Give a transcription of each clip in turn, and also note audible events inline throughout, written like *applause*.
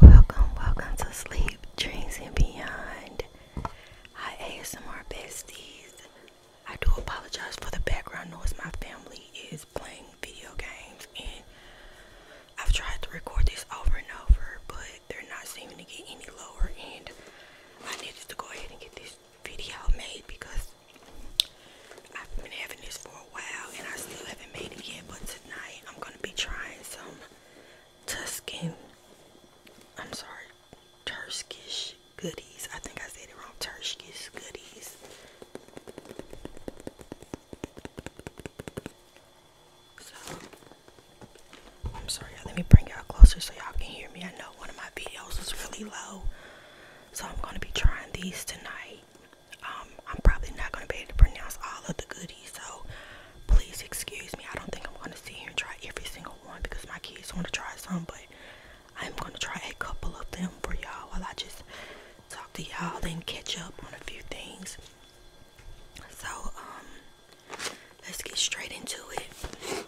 Welcome, welcome to Sleep, Dreams, and Beyond. Hi, ASMR besties. I do apologize for the background noise. My family is playing video games and I've tried to record this over and over but they're not seeming to get any lower and I needed to go ahead and get this video made because I've been having this for a while and I still haven't made it yet but tonight I'm gonna be trying some Tuscan I'm sorry Turkish goodies I think I said it wrong Turkish goodies so, I'm sorry, let me bring y'all closer so y'all can hear me. I know one of my videos is really low, so I'm going to be trying these tonight. Um, I'm probably not going to be able to pronounce all of the goodies, so please excuse me. I don't think I'm going to see here and try every single one because my kids want to try some, but I'm gonna try a couple of them for y'all while I just talk to y'all, then catch up on a few things. So, um, let's get straight into it.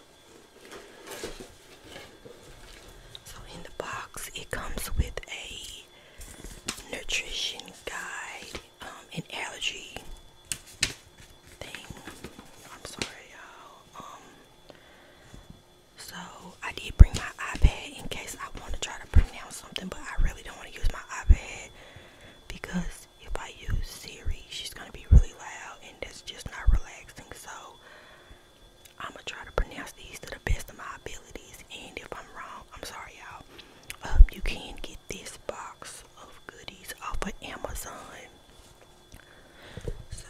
So, in the box, it comes with a nutrition guide, um, an allergy thing. I'm sorry, y'all. Um, so I did bring my iPad in case I want to try to pronounce something, but I really don't want to use my iPad because if I use Siri, she's gonna be really loud and that's just not relaxing. So I'm gonna try to pronounce these to the best of my abilities, and if I'm wrong, I'm sorry, y'all. Um, you can get this box of goodies off of Amazon. So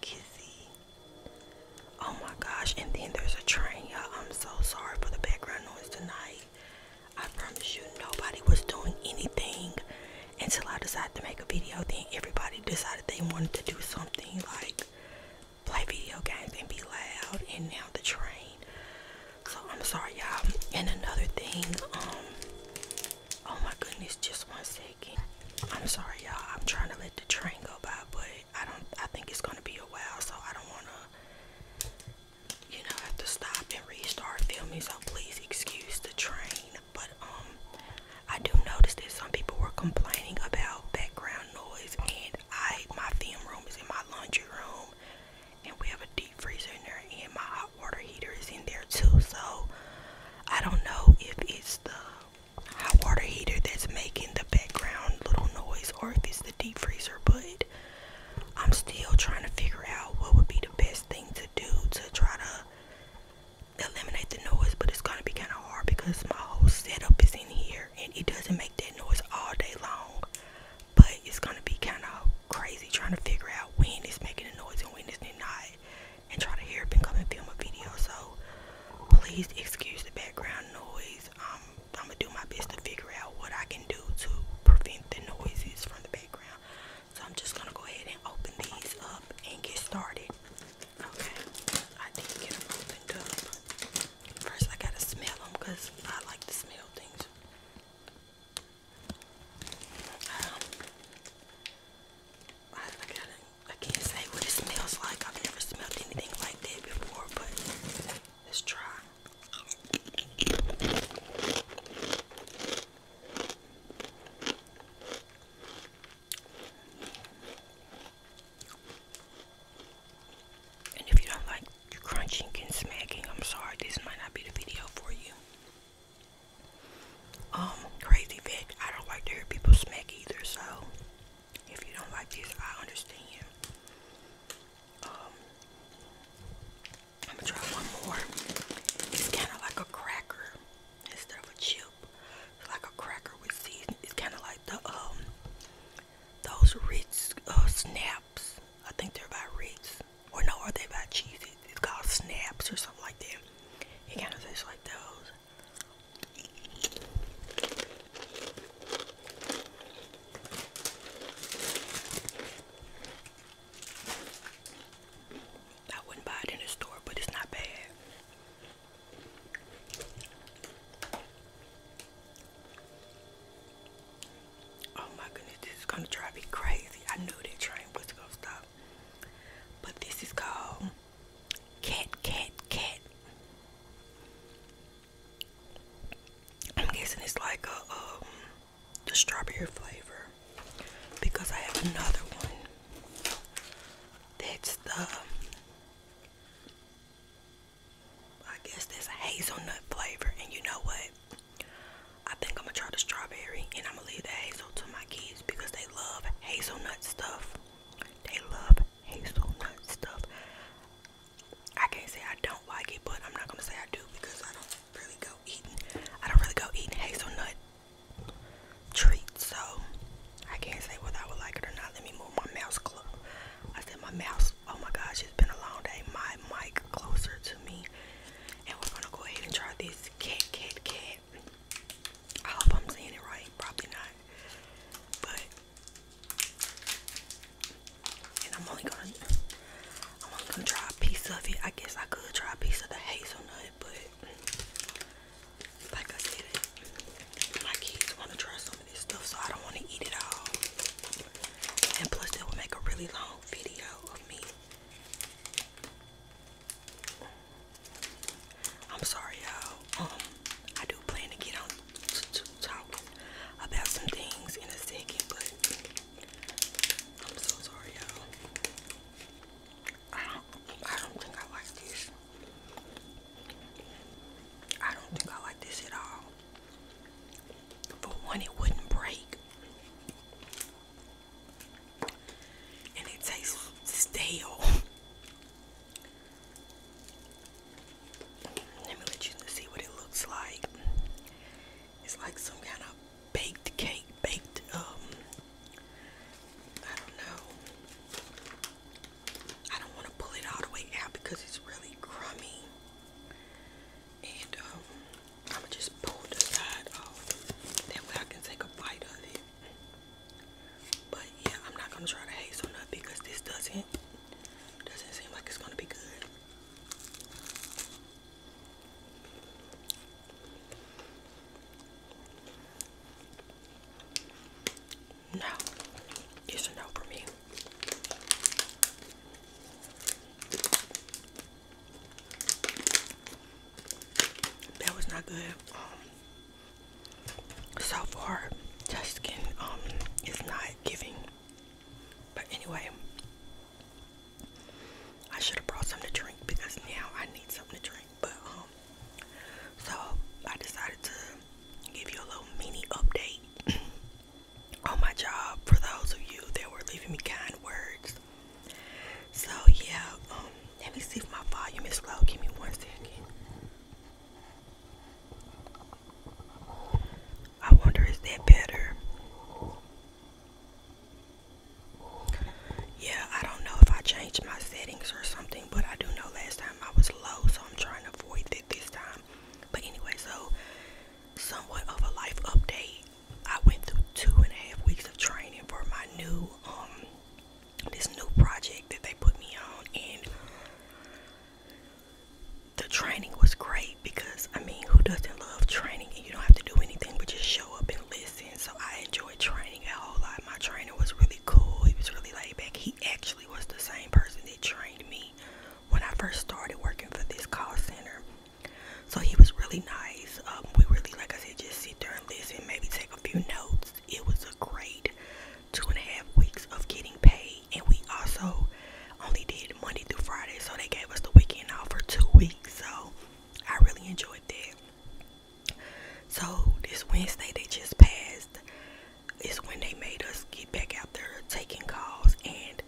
Kizzy. Oh my gosh, and then there's a train, y'all. I'm so sorry for the background noise tonight. I promise you, nobody was doing anything until I decided to make a video. Then everybody decided they wanted to do something like play video games and be loud, and now the train. So I'm sorry, y'all. And another thing, um, oh my goodness, just one second. I'm sorry, y'all. I'm trying to let the train go by, but I don't I think it's gonna be a while so I don't wanna you know have to stop and restart filming so please excuse the train but um I do notice that some people were complaining about background noise and I my film room is in my laundry room and we have a deep freezer in there and my hot water heater is in there too so I don't know if it's the hot water heater that's making the background little noise or if it's the deep freezer but i'm still trying to figure out what would be the best thing to do to try to eliminate the noise but it's going to be kind of hard because my whole setup is in here and it doesn't make that noise all day long but it's going to be kind of crazy trying to figure out when it's making a noise and when it's not and try to hear up and come and film a video. So please excuse the background noise. Um, I'm gonna do my best to figure out what I can do to prevent the noises from the background. So I'm just gonna go ahead and open these up and get started. Okay, I did get them opened up. First, I gotta smell them because I like to smell things. Um, I, I got I can't say what it smells like. I've never smelled anything like that before, but let's try. And if you don't like crunching and smacking, I'm sorry, this might not be the video for you um crazy fact, I don't like to hear people smack either, so if you don't like this, I understand. Um I'm try one more. It's kinda like a cracker instead of a chip. It's like a cracker with seasoning. It's kinda like the um those Ritz uh, snaps. I think they're by Ritz. Or no, are they by Cheez It's called snaps or something like that. It kinda tastes like those. I wouldn't buy it in the store, but it's not bad. Oh my goodness, this is gonna drive me crazy. I knew that train was gonna stop. But this is called Cat, cat, cat. I'm guessing it's like a um the strawberry flavor because I have another one that's the I guess there's a hazelnut flavor and you know what? I think I'm gonna try the strawberry and I'm gonna leave the hazel to my kids because they love hazelnut stuff. They love hazelnut stuff. I can't say I don't like it, but I'm not gonna say I do because I don't really go eating. I don't really go eating hazelnut treats, so I can't say whether I would like it or not. Let me move my mouse close. I said my mouse. Oh my gosh, it's been a long day. My mic closer to me, and we're gonna go ahead and try this cat, cat, cat. I hope I'm saying it right. Probably not. But I'm only gonna I'm only gonna try a piece of it. I guess I could try a piece of the hazelnut, but like I said, my kids wanna try some of this stuff, so I don't wanna eat it all. And plus that would make a really long video of me I'm sorry, y'all. Um, I do plan to get on to, to about some things in a second, but I'm so sorry, y'all. I don't, I don't think I like this. I don't think I like this at all. For one, it wouldn't break and it tastes stale. Let me let you see what it looks like. It's like some kind of baked cake, baked um I don't know. I don't want to pull it all the way out because it's really crummy. And um i am just pull the side off. That way I can take a bite of it. But yeah, I'm not gonna try to hazelnut because this doesn't doesn't seem like it's gonna be good. No, it's a no for me. That was not good. Um, so far that skin um is not giving but anyway I should have brought something to drink because now I need something to drink but um so I decided to give you a little mini update *clears throat* on my job for those of you that were leaving me kind words so yeah, um, let me see if my volume is low. Give me one second. I wonder is that better? Yeah, I don't know if I changed my settings or something, but I do know last time I was low, so I'm trying to avoid it this time. But anyway, so somewhat of a life update. I went through two and a half weeks of training for my new um, this new project that they put me on and the training was great because I mean who doesn't love training and you don't have to do anything but just show up and listen. So I enjoyed training a whole lot. My trainer was really cool. He was really laid back. He actually was the same person that trained me when I first started working for this call center. So he was really nice. Um, we really, like I said, just sit there and listen, maybe take a few notes. It was a great two and a half weeks of getting paid, and we also only did Monday through Friday, so they gave us the weekend off for two weeks. So I really enjoyed that. So this Wednesday they just passed is when they made us get back out there taking calls, and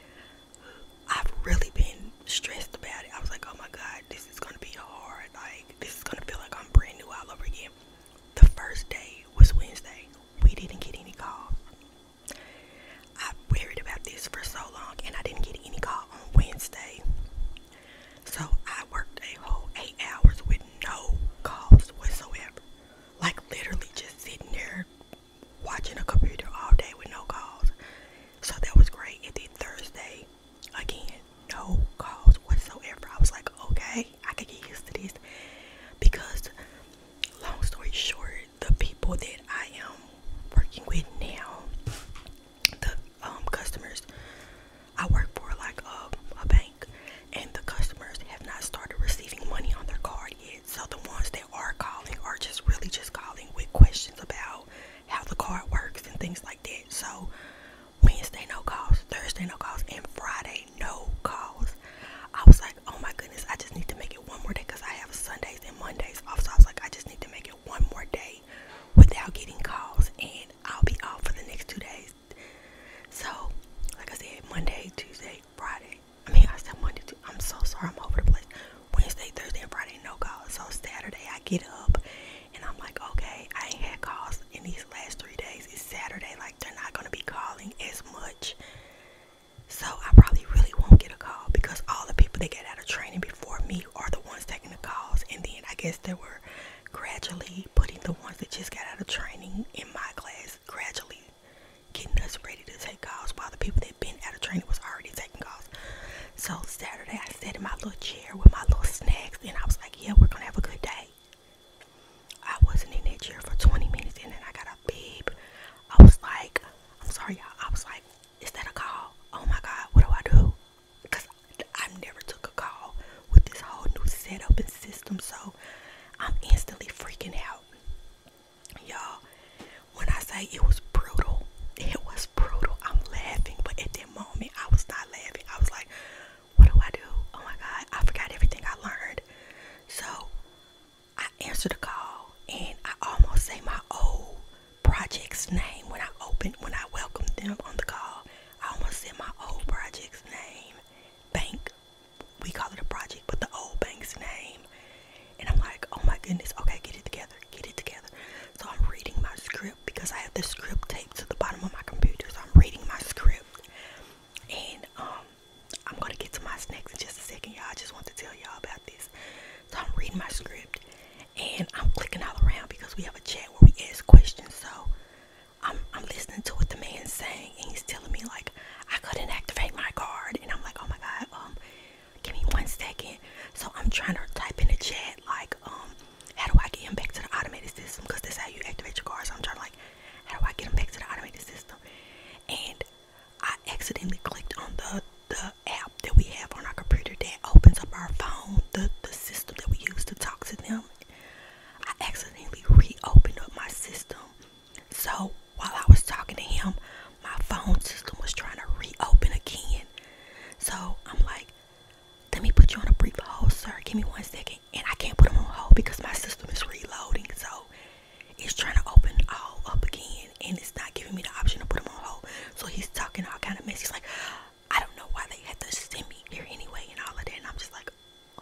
I've really been stressed about it. I was like, oh my god this is gonna be hard. Like, this is gonna feel like I'm brand new all over again. The first day was Wednesday. We didn't get any calls. I worried about this for so long and I didn't get any call on Wednesday. So I worked a whole eight hours with no calls whatsoever. Like literally just sitting there watching a computer all day with no calls. So that was great. And then Thursday Again, no calls whatsoever. I was like, okay, I could get used to this because, long story short, the people that I am working with now, the um, customers, I work for like a, a bank, and the customers have not started receiving money on their card yet. So the ones that are calling are just really just calling with questions about how the card works and things like that. So Wednesday no calls, Thursday no calls, and Friday no calls. I was like, oh my goodness, I just need to make it one more day because I have Sundays and Mondays off. So I was like, I just need to make it one more day without getting calls, and I'll be off for the next two days. So, like I said, Monday, Tuesday, Friday. I mean, I said Monday, too. I'm so sorry, I'm over the place. Wednesday, Thursday, and Friday, no calls. So Saturday, I get up and I'm like, okay, I ain't had calls in these last three days. It's Saturday, like they're not gonna be calling as much. So I probably really won't get a call because all the people that get out of training before me are the ones taking the calls. And then I guess they were gradually putting the ones that just got out of training in my class, gradually getting us ready to take calls while the people that been out of training was already taking calls. So Saturday I sat in my little chair with my little snacks and I was like, yeah, we're gonna have a good day. I wasn't in that chair for 20 minutes and then I got a beep. I was like, I'm sorry y'all. I was like, is that a call? Oh my God, what do I do? Because I never took a call with this whole new setup and system. So I'm instantly freaking out. Y'all, when I say it was brutal, it was brutal. I'm laughing, but at moment, I was not laughing. I was like, what do I do? Oh my God, I forgot everything I learned. So I answered the call and I almost say my old project's name when I opened, when I welcomed them on the call. I almost said my old project's name, bank. We call it a project, but the old bank's name. And I'm like, oh my goodness, okay, get it together, get it together. So I'm reading my script because I have the script taped to the bottom of my computer. So I'm reading my script. And um I'm gonna get to my snacks in just a second, y'all. I just want to tell y'all about this. So I'm reading my script and I'm clicking all around because we have a chat where we ask questions. So I'm I'm listening to what the man's saying and he's telling me like I couldn't activate my card and I'm like, oh my god, um Give me one second. So I'm trying to type in the chat like, um, how do I get him back to the automated system? Because that's how you activate your cards. So I'm trying to like, how do I get him back to the automated system? And I accidentally clicked on the the app that we have on our computer that opens up our phone, the the system that we use to talk to them. I accidentally reopened up my system. So while I was talking to him, my phone system was trying to reopen again. So I'm like, let me put you on a brief hold, sir. Give me one second. And I can't put them on hold because my system is reloading. So it's trying to open all up again. And it's not giving me the option to put them on hold. So he's talking all kind of mess. He's like, I don't know why they had to send me here anyway and all of that. And I'm just like,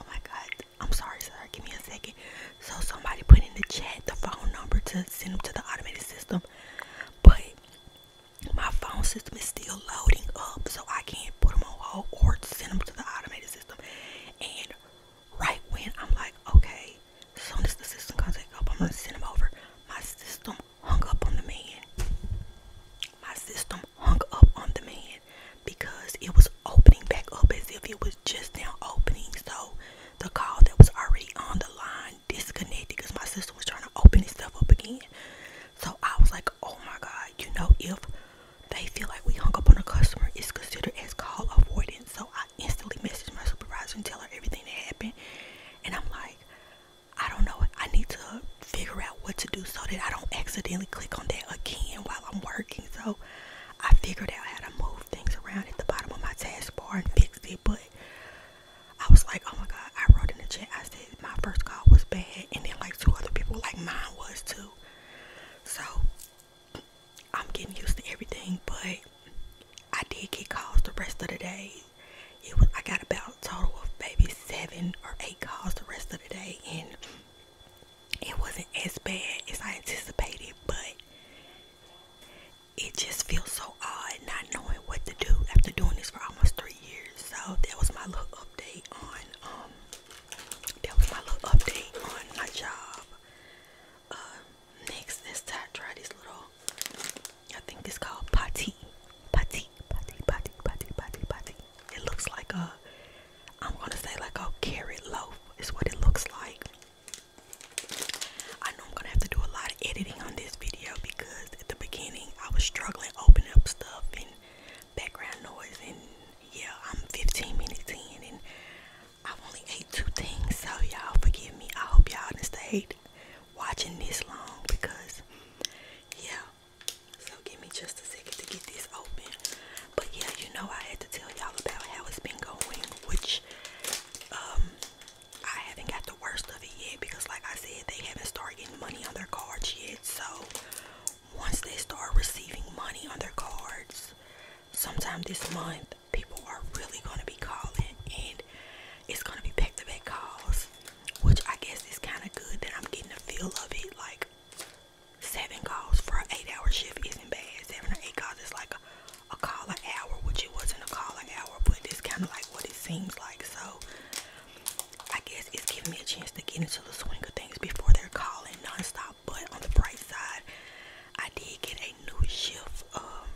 oh my God. I'm sorry, sir. Give me a second. So somebody put in the chat the phone number to send them to the automated system. But my phone system is still loading up, so I can't put them on hold or send them to the automated system. And right when I'm like, okay, as soon as the system comes back up, I'm gonna send them over. My system hung up on the man. My system hung up on the man because it was opening back up as if it was just now opening. So the call that was already on the line disconnected because my sister was trying to open itself up again. So I was like, oh my God, you know, if they feel like we hung up on a customer, it's considered as call avoidance. So I instantly messaged my supervisor and tell her everything that happened. And I'm like, I don't know. I need to figure out what to do so that I don't accidentally click on that again while I'm working. So I figured out how to move things around at the bottom of my taskbar and fix it. But I was like, oh my god, I wrote in the chat, I said my first call was bad, and then like two other people like mine was too. So I'm getting used to everything, but I did get calls the rest of the day. It was I got about a total of maybe seven or eight calls the rest of the day and it wasn't as bad as I anticipated, but it just feels so odd not knowing what to do after doing this for almost three years. So that was my little update on um that was my little update on my job. Uh, next let's try, try this little I think it's called pati. Pati, pati, pati, pati, pati, pati. It looks like a I'm gonna say like a carrot loaf is what it looks like. I know I'm gonna have to do a lot of editing on this video because at the beginning I was struggling opening up stuff and background noise and yeah I'm 15 minutes in and I've only ate two things so y'all forgive me. I hope y'all didn't stay watching this long because yeah so give me just a second to get this open. But yeah you know I had to tell y'all about how it's been going which um I haven't got the worst of it yet because, like I said, they haven't started getting money on their cards yet. So, once they start receiving money on their cards, sometime this month, people are really going to be calling and it's going to be back to back calls, which I guess is kind of good that I'm getting a feel of it. Like, seven calls for an eight hour shift isn't bad, seven or eight calls is like a a caller hour, which it wasn't a caller hour, but it's kind of like what it seems like. So I guess it's giving me a chance to get into the swing of things before they're calling nonstop. But on the bright side, I did get a new shift um,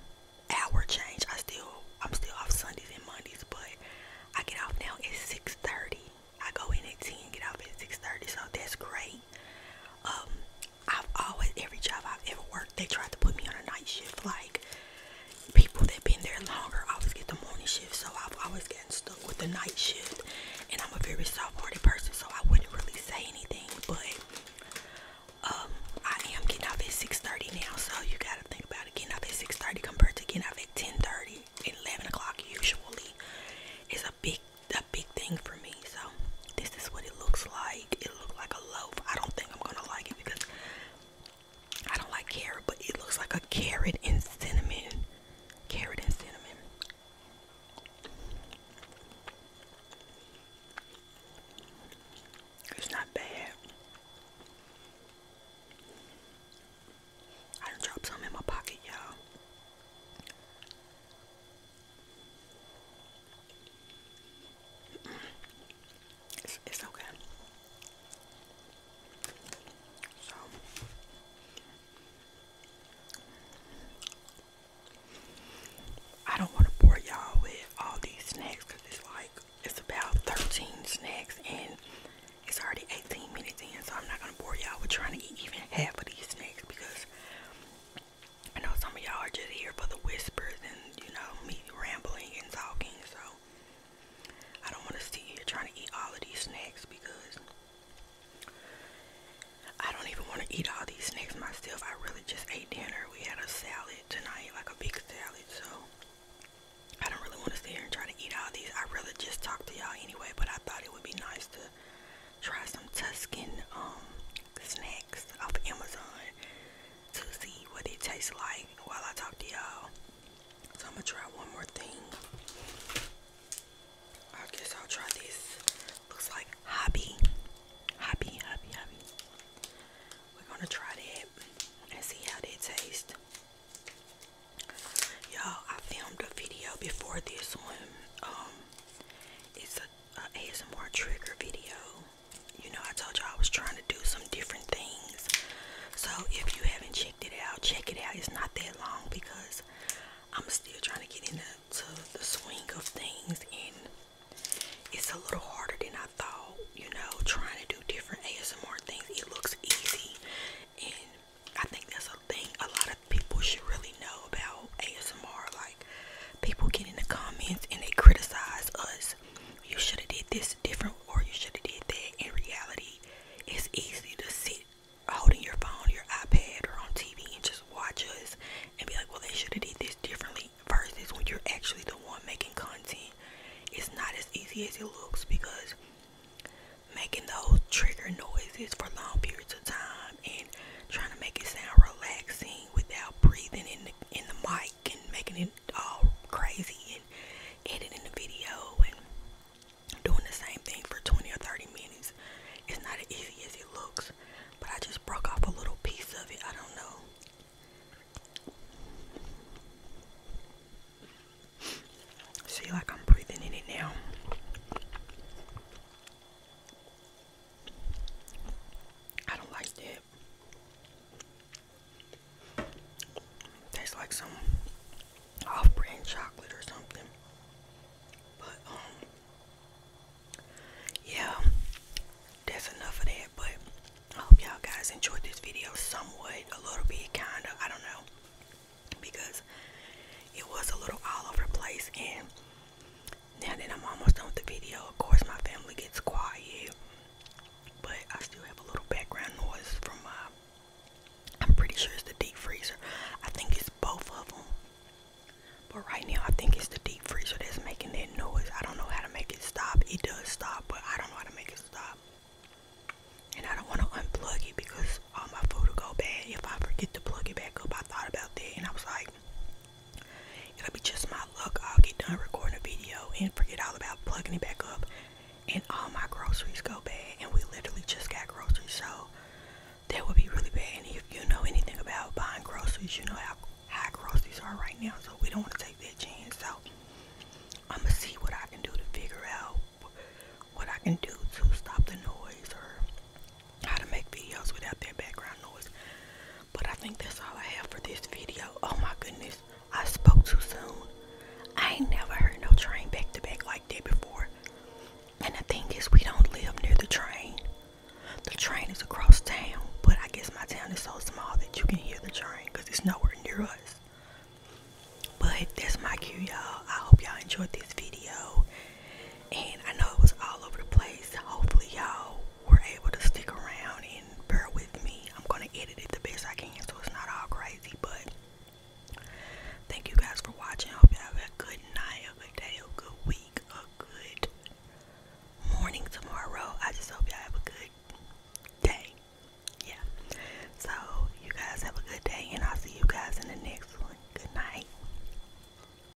hour change. I still I'm still off Sundays and Mondays, but I get off now at 6:30. I go in at 10, get off at 6:30, so that's great. Um, I've always every job I've ever worked, they tried to put me on a night shift. Like people that have been there longer always get the morning shift, so I've always getting stuck with the night shift. And I'm a very soft-hearted person, so I wouldn't really say anything. But um, I am getting up at 6:30 now, so you gotta think about it. Getting up at 6:30 compared to getting up at 10:30, 11 o'clock usually is a big, a big thing for me. So this is what it looks like it looks like a loaf. I don't think I'm gonna like it because I don't like carrot, but it looks like a carrot and cinnamon. Carrot and cinnamon. It's not bad. I done dropped some in my pocket, y'all. It's, it's okay. So I don't want to bore y'all with all these snacks because it's like it's about 13 snacks and it's already 18 minutes in so I'm not going to bore y'all with trying to eat even half of these snacks because I know some of y'all are just here for the whispers and you know me rambling and talking, so I don't want to see you trying to eat all of these snacks because I don't even want to eat all these snacks myself. I really just ate dinner. We had a salad tonight, like a big salad, so I don't really want to sit here and try to eat all these. I really just talk to y'all anyway, but I thought it would be nice to try some Tuscan um snacks off Amazon to see what it tastes like while I talk to y'all. So I'm gonna try one more thing. I guess I'll try this. Looks like hobby. Hobby, hobby, hobby. We're gonna try that and see how that tastes. Y'all, I filmed a video before this one. Um it's a, a ASMR trigger video you know, I told y'all I was trying to do some different things. So if you haven't checked it out, check it out. It's not that long because I'm still trying to get into the swing of things and it's a little harder than I thought, you know, trying to do different ASMR things. It looks easy and I think that's a thing a lot of people should really know about ASMR. Like like people get in the comments and they criticize us. You should have did this different or you should have did that. In reality, it's easy to sit holding your phone, your iPad or on TV and just watch us and be like, well, they should have did this differently versus when you're actually the one making content. It's not as easy as it looks because making those trigger noises for long periods of time and trying to make it sound relaxing without breathing in the in the mic and making it all crazy and editing the video and doing the same thing for 20 or 30 minutes. It's not as easy as it looks, but I just broke off a little piece of it. I don't know. See, like I'm breathing in it now. I don't like that. Tastes like some off-brand chocolate or something. But um, yeah, that's enough of that. But I hope y'all guys enjoyed this video somewhat, a little bit, kind of. I don't know because it was a little all over the place and now that I'm almost done with the video, of course my family gets quiet, but I still have a little background noise from uh, I'm pretty sure it's the deep freezer. I think it's both of them, but right now I think it's the deep freezer that's making that noise. I don't know how to make it stop. It does stop, but I don't know how to make it stop. And I don't want to unplug it because all my food will go bad if I forget to plug it back up. I thought about that and I was like, It'll be just my luck. I'll get done recording a video and forget all about plugging it back up. And all my groceries go bad. And we literally just got groceries. So that would be really bad. And if you know anything about buying groceries, you know how high groceries are right now. So we don't want to take that chance. So I'm going to see what I can do to figure out what I can do to stop the noise or how to make videos without that background noise. But I think that's all I have for this video. Oh my goodness, I spoke too soon. I ain't never heard no train back to back like that before. And the thing is, we don't live near the train. The train is across town, but I guess my town is so small that you can hear the train because it's nowhere near us. But if that's my cue, y'all. I hope y'all enjoyed this video and I know it was all over the place. Hopefully, y'all were able to stick around and bear with me. I'm gonna edit it the best I can so it's not all crazy, but thank you guys for watching. Hope you have a good night, a good day, a good week, a good morning tomorrow. I just hope y'all have a good day. Yeah. So you guys have a good day and I'll see you guys in the next one. Good night.